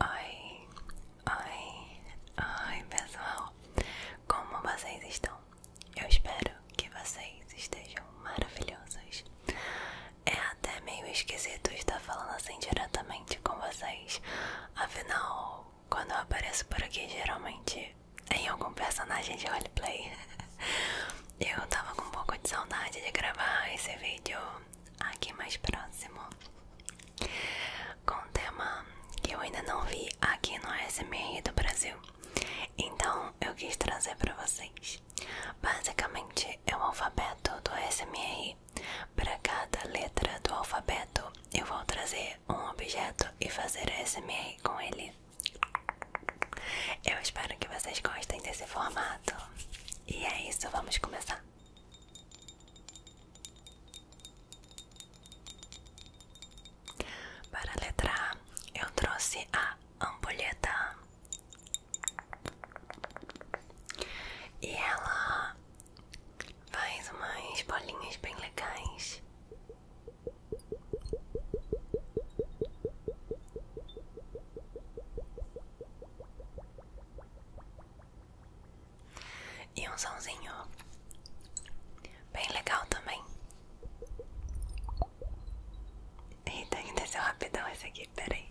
Oi, oi, oi pessoal, como vocês estão? Eu espero que vocês estejam maravilhosos. É até meio esquisito estar falando assim diretamente com vocês, afinal, quando eu apareço por aqui, geralmente é em algum personagem de roleplay. Eu tava com um pouco de saudade de gravar esse vídeo aqui mais próximo com um tema que eu ainda não vi aqui no SMR do Brasil. Então eu quis trazer para vocês. Basicamente é o alfabeto do SMR. Para cada letra do alfabeto, eu vou trazer um objeto e fazer SMR com ele. Eu espero que vocês gostem desse formato. E é isso, vamos começar. Para letrar, eu trouxe a ampulheta. E ela faz umas bolinhas bem legais. E um somzinho bem legal também. Eita, que desceu rapidão esse aqui, peraí.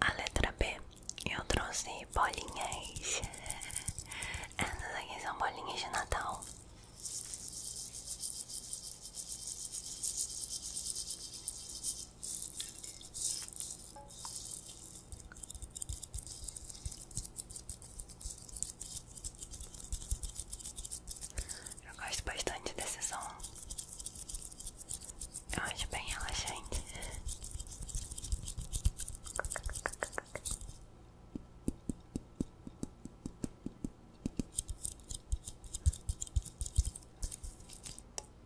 A letra B, eu trouxe bolinhas. É, essas aqui são bolinhas de Natal. Eu gosto bastante desse som. Eu acho bem relaxante.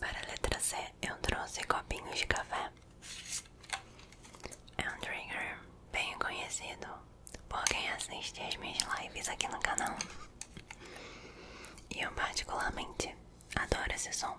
Para a letra C, eu trouxe copinhos de café. É um trigger bem conhecido por quem assiste as minhas lives aqui no canal. E eu, particularmente, adoro esse som.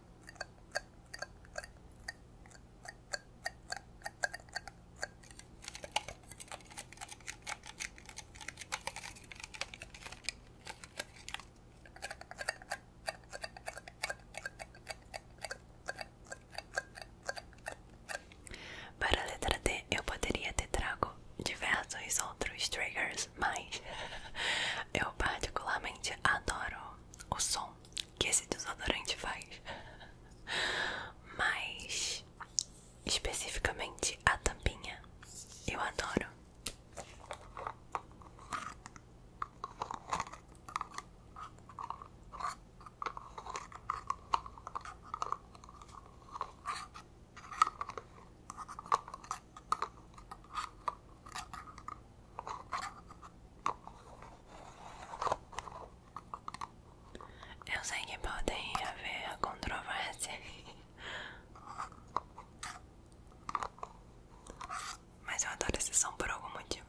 Para a letra D eu poderia ter trago diversos outros triggers, mas eu particularmente adoro o som que esse desodorante faz, mas especificamente a tampinha eu adoro. Eu sei que pode haver a controvérsia, mas eu adoro esse som por algum motivo.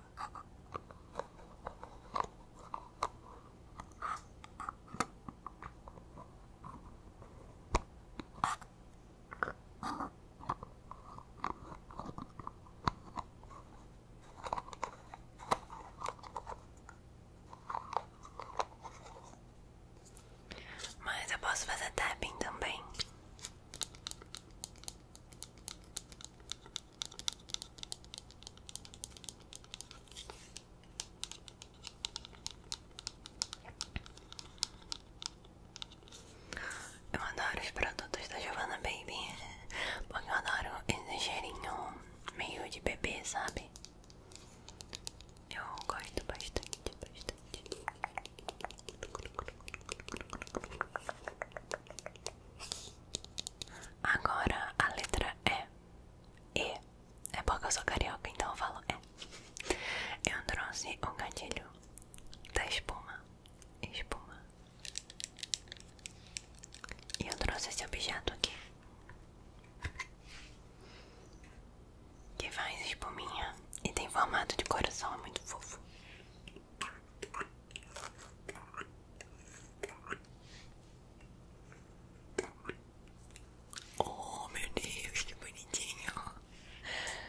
Mas eu posso fazer tapping também. Eu adoro os produtos da Giovanna Baby Porque eu adoro esse cheirinho meio de bebê, sabe? Eu gosto bastante, Agora a letra é E É porque eu sou carioca, então eu falo E Eu trouxe o gatilho da espuma espuma. E eu trouxe esse objeto aqui. Que faz espuminha e tem formato de coração, é muito fofo. Oh meu Deus, que bonitinho!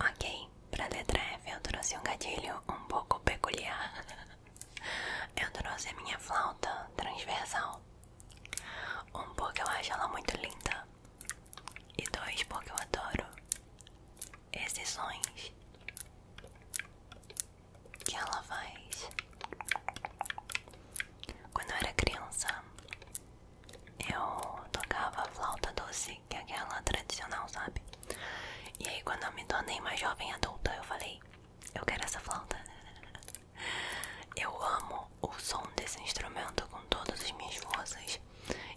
Ok, pra letra F eu trouxe um gatilho um pouco peculiar. Eu trouxe a minha flauta transversal. Um, porque eu acho ela muito linda. E dois, porque eu adoro esses sons que ela faz. Quando eu era criança, eu tocava flauta doce Assim, que é aquela tradicional, sabe? E aí quando eu me tornei mais jovem adulta, eu falei, eu quero essa flauta. Eu amo o som desse instrumento com todas as minhas vozes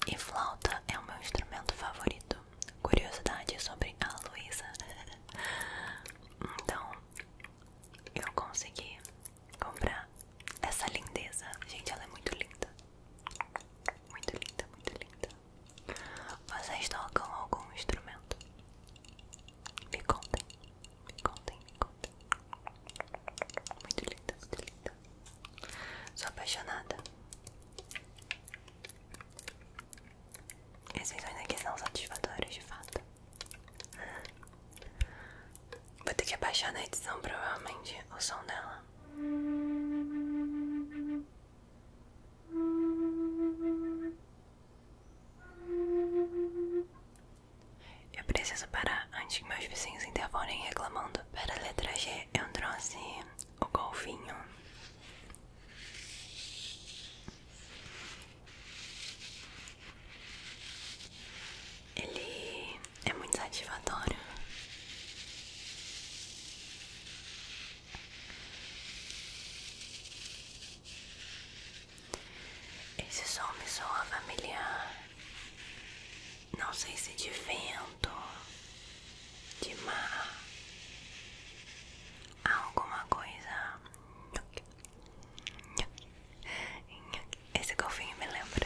E flauta é o meu instrumento favorito. Curiosidade sobre a Luísa. Então, eu consegui comprar essa lindeza. Gente, ela é muito linda. Muito linda, muito linda. Vocês tocam algum instrumento? Me contem, me contem, me contem. Muito linda, muito linda. Sou apaixonada. Esses sonhos aqui são satisfatórios de fato. Vou ter que abaixar na edição provavelmente o som dela. Eu preciso parar antes que meus vizinhos intervonem reclamando. Para letra G, eu trouxe assim. o golfinho. Ele é muito satisfatório. Esse som me soa familiar. Não sei se de vento, de mar, alguma coisa. Esse golfinho me lembra.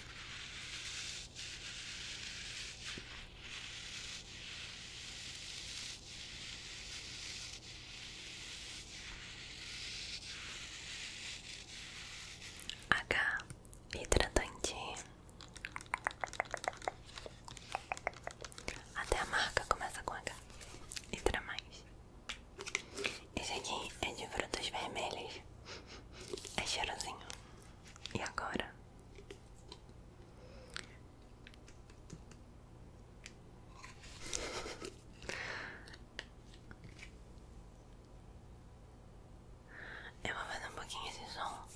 H hidratante até a marca começa com H letra mais esse aqui é de frutas vermelhas é cheirosinho. E agora? Eu vou fazer um pouquinho esse som.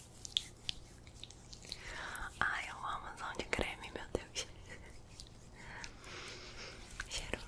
Ai, eu amo som de creme, meu Deus. Cheiroso.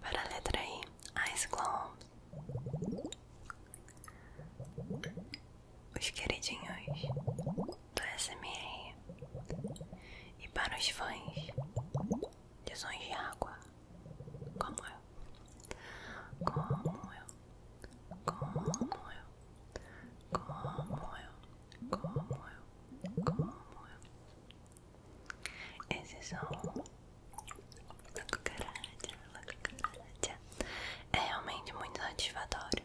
Para a letra I, Ice Globes. Os queridinhos do SMR e para os fãs de sons de água, como eu, como eu, como eu, como eu, como eu, como eu. Esse som da cucaracha, da cucaracha é realmente muito satisfatório.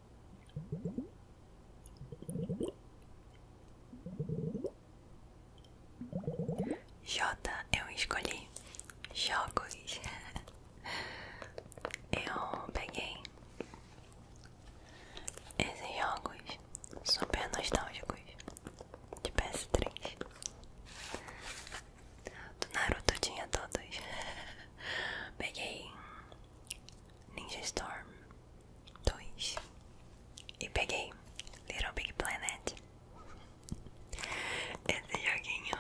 J, eu escolhi jogos. Eu peguei esses jogos super nostálgicos de PS3. Do Naruto tinha todos. Peguei Ninja Storm, dois e peguei Little Big Planet. Esse joguinho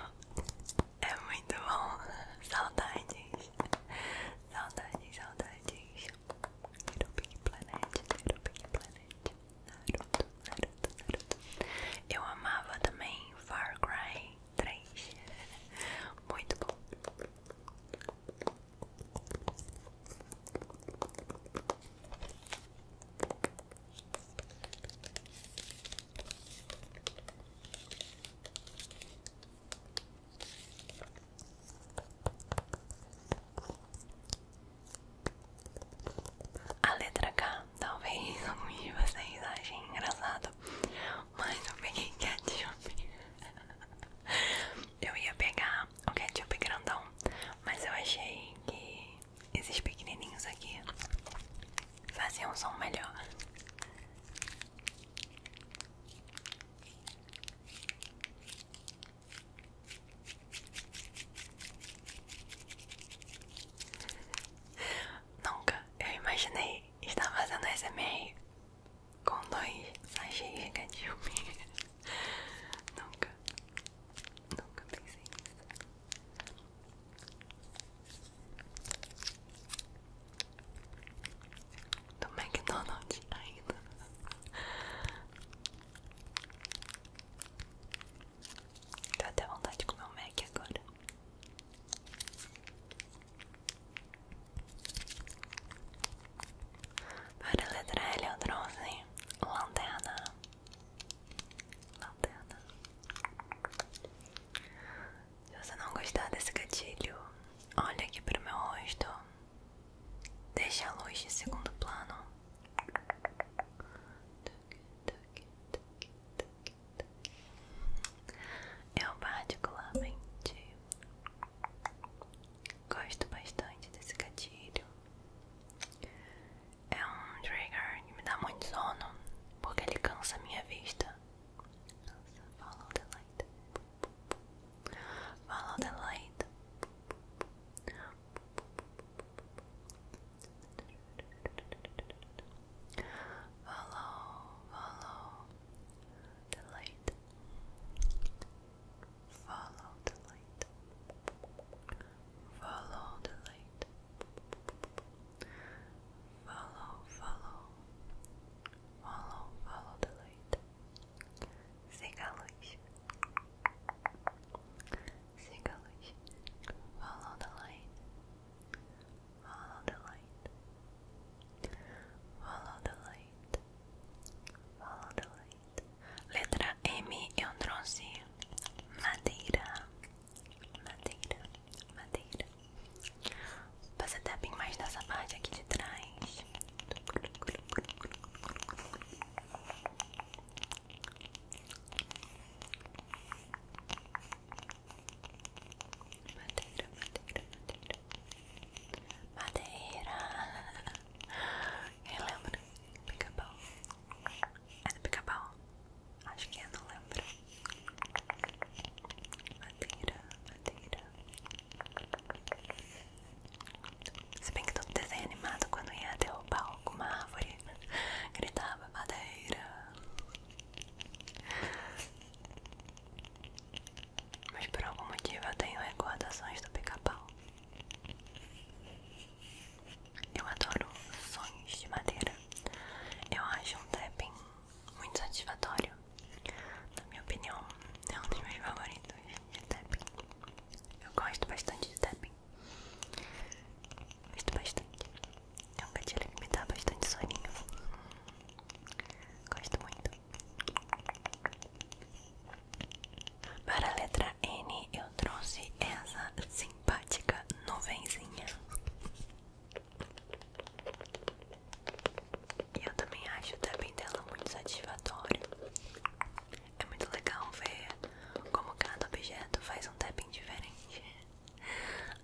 é muito bom. Saudades, saudades, saudades. Little Big Planet, Little Big Planet. Naruto, Naruto, Naruto. Eu amava também Far Cry 3. Muito bom. A letra K, talvez alguns de vocês achem engraçado, mas eu peguei ketchup eu ia pegar o ketchup grandão, mas eu achei que esses pequenininhos aqui faziam um som melhor. Nunca eu imaginei estar fazendo SMR com dois sachês de ketchup. nunca, nunca pensei nisso. Do McDonald's ainda. tô até vontade de comer o Mac agora. Para a letra L eu trouxe lanterna Lanterna Se você não gostar desse gatilho Olha aqui para o meu rosto Deixa a luz de segundo plano eu particularmente Gosto bastante desse gatilho. É um trigger que me dá muito sono, porque ele cansa a minha vista. Nossa, follow the light. Follow the light. Follow, follow, the light. Follow the light. Follow the light. Follow, follow. Follow, follow the light. Siga a Follow the light. Follow the light. Follow the light. Follow the light. Letra M eu trouxe madeira. Madeira. Madeira. Você tapping tá mais nessa parte aqui de trás. Madeira, madeira, madeira. Madeira. Eu lembro, pica-pau. É do pica-pau? Acho que é, não lembro. Madeira, madeira. Se bem que todo desenho animado, quando ia derrubar alguma árvore, gritava madeira. Mas por algum motivo eu tenho recordações do pica-pau. Eu adoro sonhos de madeira. Eu acho um tapping muito satisfatório. Na minha opinião, é um dos meus favoritos Eu gosto bastante de tapping. Gosto bastante. É um gatilho que me dá bastante soninho. Gosto muito. Para a letra N, eu trouxe essa simpática nuvenzinha. eu também acho o tapping dela muito satisfatório. É muito legal ver como cada objeto faz um tapping diferente.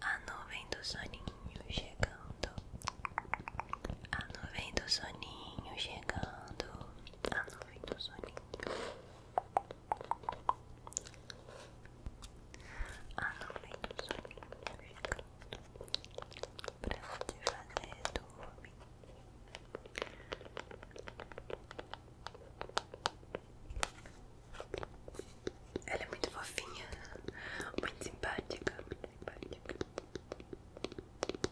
A nuvem do soninho chegando. A nuvem do soninho chegando. A nuvem do soninho. A nuvem do soninho chegando. Pra te fazer dormir. Ela é muito fofinha, muito simpática, muito simpática.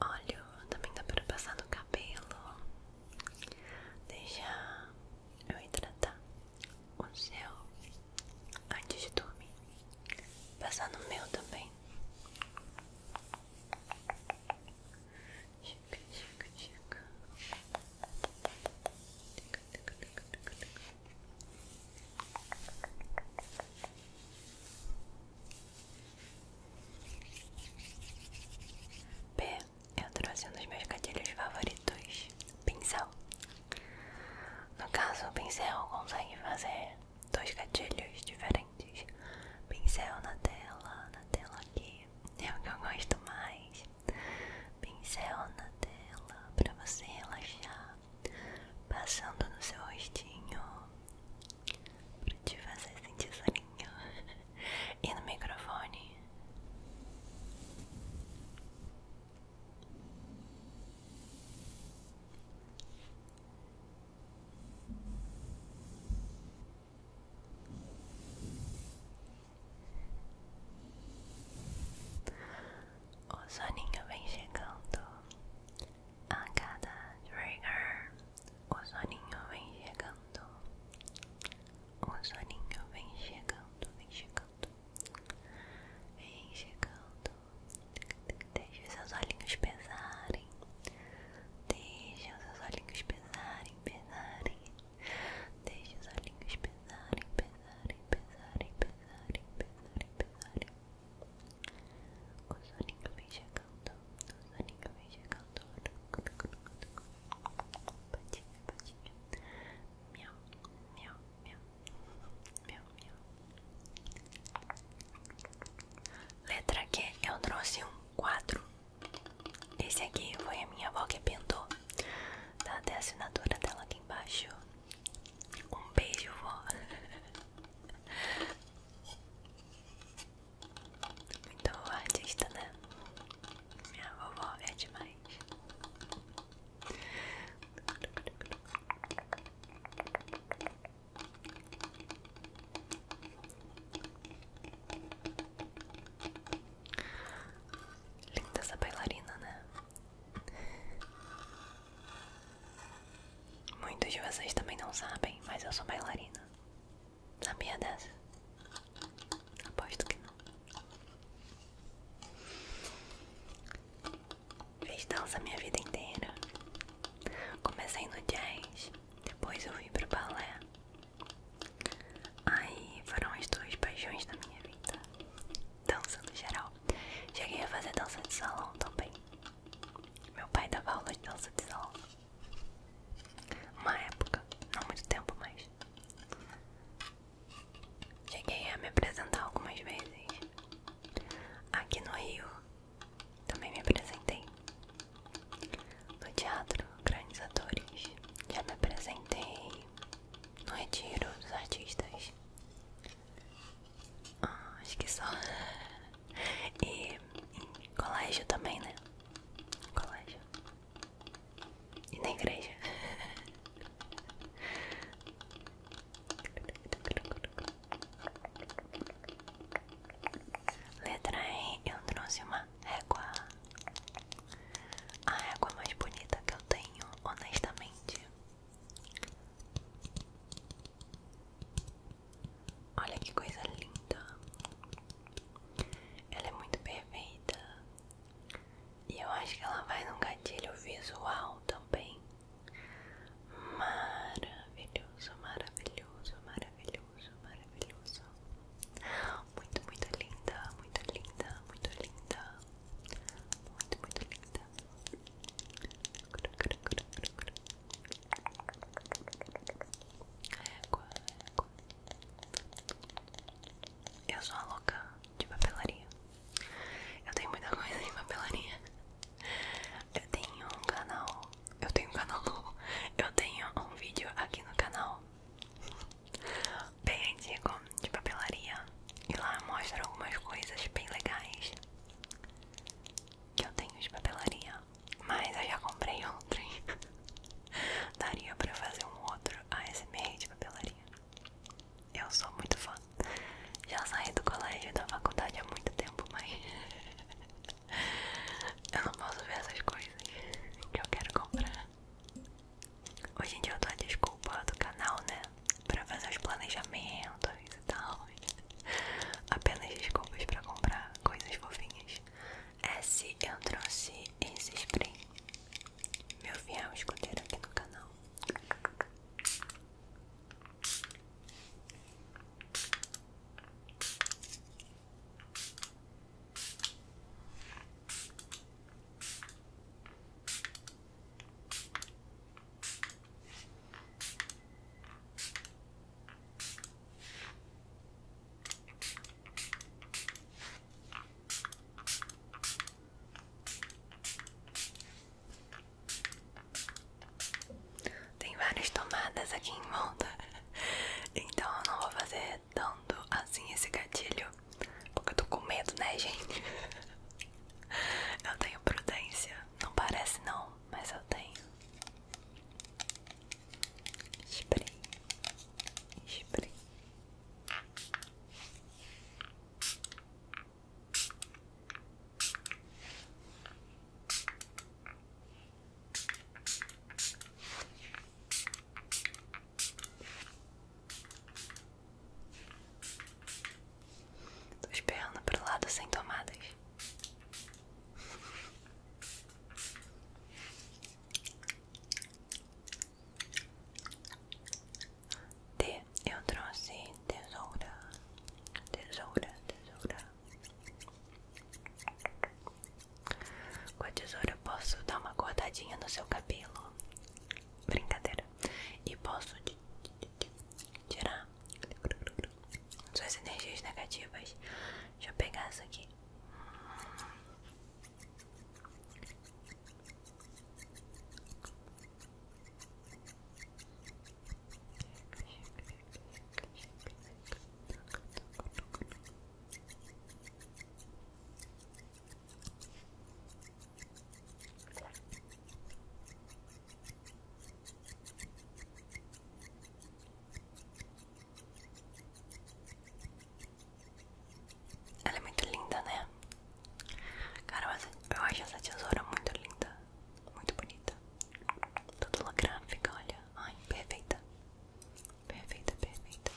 óleo também dá pra passar no cabelo, deixa eu hidratar o seu antes de dormir, passar no meu também. Chica, chica, chica. Tic, P, Eu trouxe um dos meus gatilhos favoritos: pincel. No caso, o pincel consegue fazer dois gatilhos diferentes: pincel na tela, na tela aqui. É o que eu gosto mais. Pincel na tela para você relaxar, passando no seu rostinho pra te fazer sentir soninho e no microfone. O soninho vem chegando a cada trigger, o soninho vem chegando. O soninho vem chegando, vem chegando. Vem chegando. Deixa os seus olhinhos pesarem. Deixa os seus olhinhos pesarem, pesarem. Deixa os olhinhos pesarem, pesarem, pesarem, pesarem, pesarem. pesarem. O soninho vem chegando, o soninho vem chegando. Patinha, patinha. Miau, miau, miau. Letra Q, eu trouxe um quadro. Esse aqui foi a minha avó que pintou. Tá até a assinatura dela aqui embaixo. Um beijo, vó. Muito então, artista, né? Minha vovó é demais. Linda essa bailarina, né? Muitos de vocês também não sabem, mas eu sou bailarina. Sabia dessa? Aposto que não. Fiz dança minha vida inteira. Comecei no jazz, depois eu vim pro balé. Aí foram as duas paixões da minha vida. Dança no geral. Cheguei a fazer dança de salão também. Meu pai dava aula de dança de salão. Uma época, não muito tempo mais. Cheguei a me apresentar algumas vezes. Aqui no Rio também me apresentei. No teatro, grandes atores. Já me apresentei no Retiro dos Artistas. Ah, acho que só. E colégio também, né? Colégio. E na igreja. Letra E, eu trouxe uma régua. A régua mais bonita que eu tenho, honestamente. Olha que coisa linda. Ela é muito perfeita. E eu acho que ela vai num gatilho visual também. Maravilhoso, maravilhoso, maravilhoso, maravilhoso. Muito, muito linda, muito linda, muito linda. Muito, muito linda. Eu sou uma louca de papelaria. Eu tenho muita coisa em papelaria. Eu tenho um canal. Eu tenho um canal novo. Eu tenho um vídeo aqui no canal. Bem antigo de papelaria. E lá mostra algumas coisas bem legais que eu tenho de papelaria, mas eu já comprei ontem. Daria pra fazer um outro ASMR de papelaria. Eu sou muito fã. Já saí do colégio e da faculdade há muito tempo, mas eu não posso ver essas coisas que eu quero comprar. Hoje em dia eu dou a desculpa do canal, né? Pra fazer os planejamentos e tal valores. Apenas desculpas para comprar coisas fofinhas. Esse eu trouxe esse spring Meu fiel escudeiro aqui no canal. Tem várias tomadas aqui em volta, então eu não vou fazer tanto assim esse gatilho, porque eu tô com medo, né, gente? Eu tenho prudência, não parece não, mas eu tenho spray, spray. Tô esperando pro lado sem tomadas. T, eu trouxe tesoura, tesoura, tesoura. Com a tesoura eu posso dar uma cortadinha no seu cabelo, brincadeira, e posso tirar suas energias negativas Deixa eu pegar essa aqui. Ela é muito linda, né? Cara, mas eu acho essa tesoura muito linda, muito bonita. Toda holográfica, olha. Ai, perfeita. Perfeita, perfeita.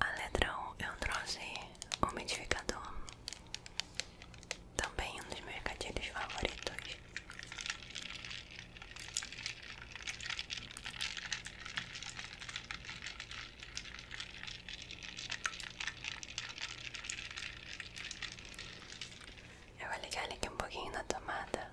A letra 1 eu trouxe o um umidificador, também um dos meus gatilhos favoritos. Eu vou ligar ele aqui um pouquinho na tomada.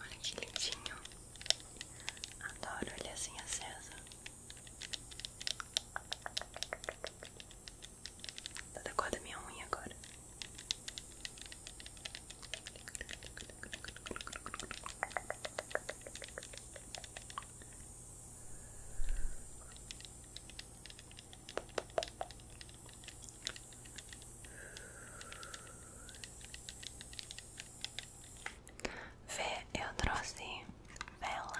Olha que lindinho. Adoro ele assim acesa. Tá da corda minha unha agora. Vê, eu trouxe bela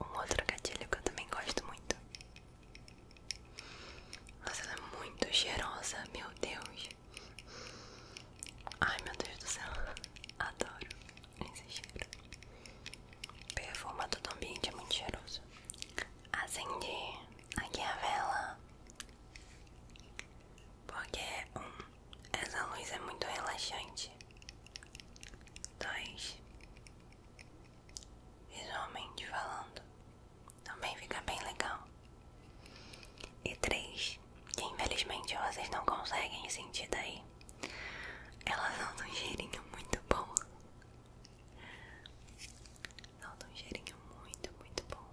Um outro gatilho que eu também gosto muito mas ela é muito cheirosa, meu Deus. Ai, meu Deus do céu. Adoro esse cheiro. Perfuma todo o ambiente é muito cheiroso. Acendi aqui a vela. Porque, um, essa luz é muito relaxante. Dois, visualmente falando. Também fica bem legal. E três, que infelizmente vocês não conseguem sentir daí. elas dão um cheirinho muito bom. dão um cheirinho muito, muito bom.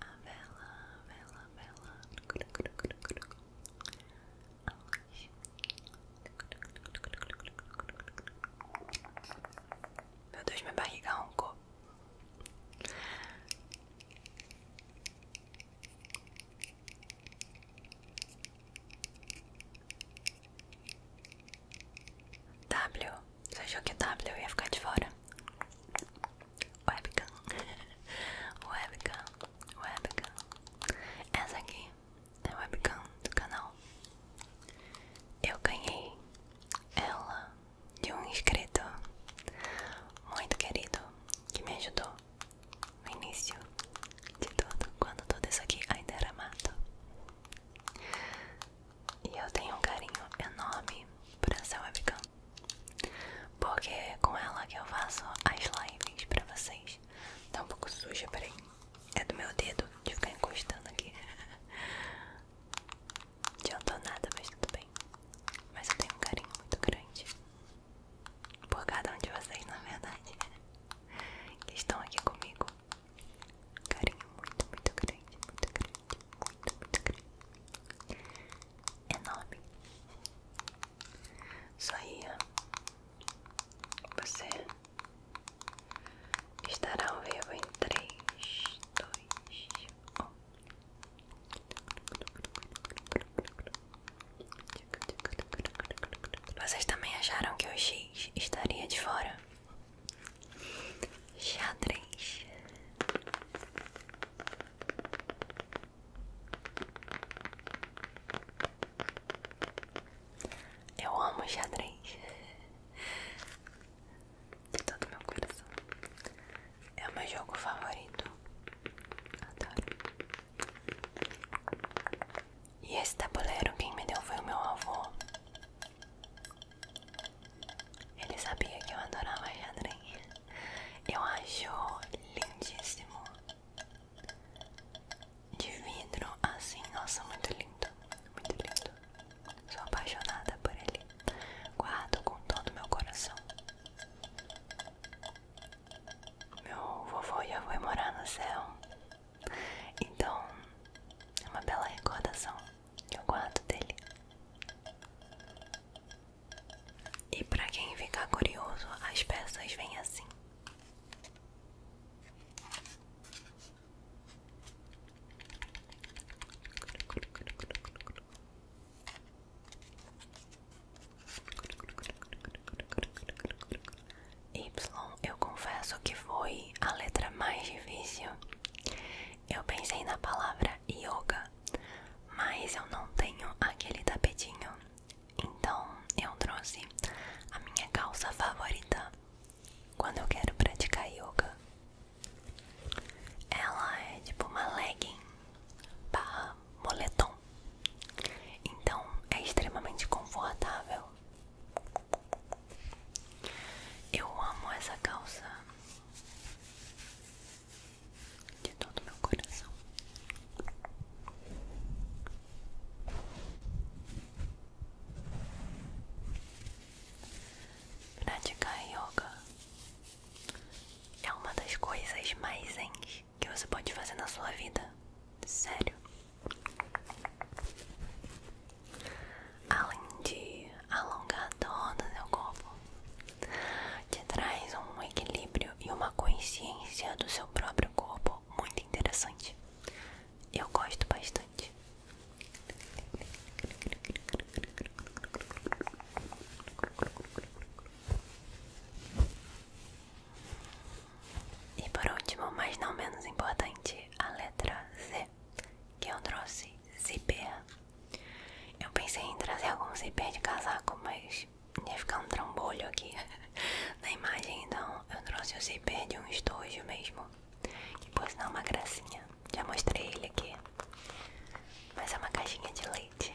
A vela, a vela, a vela. A luz. Meu Deus, minha barriga roncou. W, você achou que W ia ficar de fora? Webcam, webcam, webcam. Essa aqui é a webcam do canal. Eu ganhei ela de um inscrito muito querido que me ajudou no início de tudo, quando tudo isso aqui ainda era mato. E eu tenho um carinho enorme por essa webcam, porque é com ela que eu faço as lives pra vocês. Tá um pouco suja, peraí. É do meu dedo de ficar encostando aqui. não Adiantou nada, mas tudo bem. Mas eu tenho um carinho muito grande por cada um de vocês, na verdade, que estão aqui comigo. Carinho muito, muito grande, muito grande, muito, muito grande. Enorme. Só ia. Você estarão vivos em três, dois, 1. Vocês também acharam que o X estaria de fora? Xadrez. Eu amo xadrez de todo meu coração. É o meu jogo favorito. Adoro. E esse tabuleiro quem me deu foi o meu avô. Ele sabia que eu adorava xadrez. Eu acho lindíssimo. De vidro, assim, nossa, muito lindo. Muito lindo. Sou apaixonada por ele. Guardo com todo meu coração. Meu vovô já foi morar no céu. Então, é uma bela recordação que eu guardo dele. E para quem ficar curioso, as peças vêm assim. Y, eu confesso que foi a letra mais difícil. Eu pensei na palavra yoga, mas eu não tenho aquele tapetinho. Então eu trouxe a minha calça favorita, quando eu quero praticar yoga. Ela é tipo uma legging barra moletom. Então é extremamente confortável. Eu amo essa calça de todo meu coração. Praticar yoga é uma das coisas mais zen que você pode fazer na sua vida. Sério. Além de alongar todo o seu corpo, te traz um equilíbrio e uma consciência do seu próprio corpo muito interessante. Eu gosto bastante. E por último, mas não menos importante, a letra Z, que eu trouxe zíper. Eu pensei em trazer algum zíper de casaco, mas ia ficar um trambolho aqui na imagem, então eu trouxe o zíper de um estojo mesmo. Que pois não é uma gracinha. Já mostrei ele aqui. Mas é uma caixinha de leite.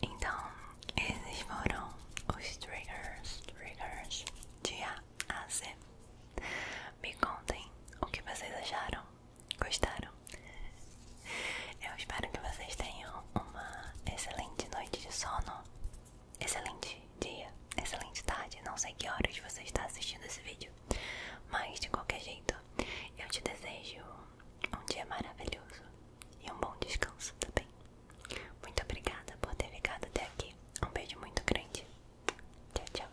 Então, esses foram os triggers, triggers de A a Z. Me contem o que vocês acharam, gostaram? Eu espero que vocês tenham uma excelente noite de sono, excelente dia, excelente tarde. Não sei que horas você está assistindo esse vídeo, mas de qualquer jeito, eu te desejo um dia maravilhoso e um bom descanso também. Tá muito obrigada por ter ficado até aqui. Um beijo muito grande. Tchau, tchau.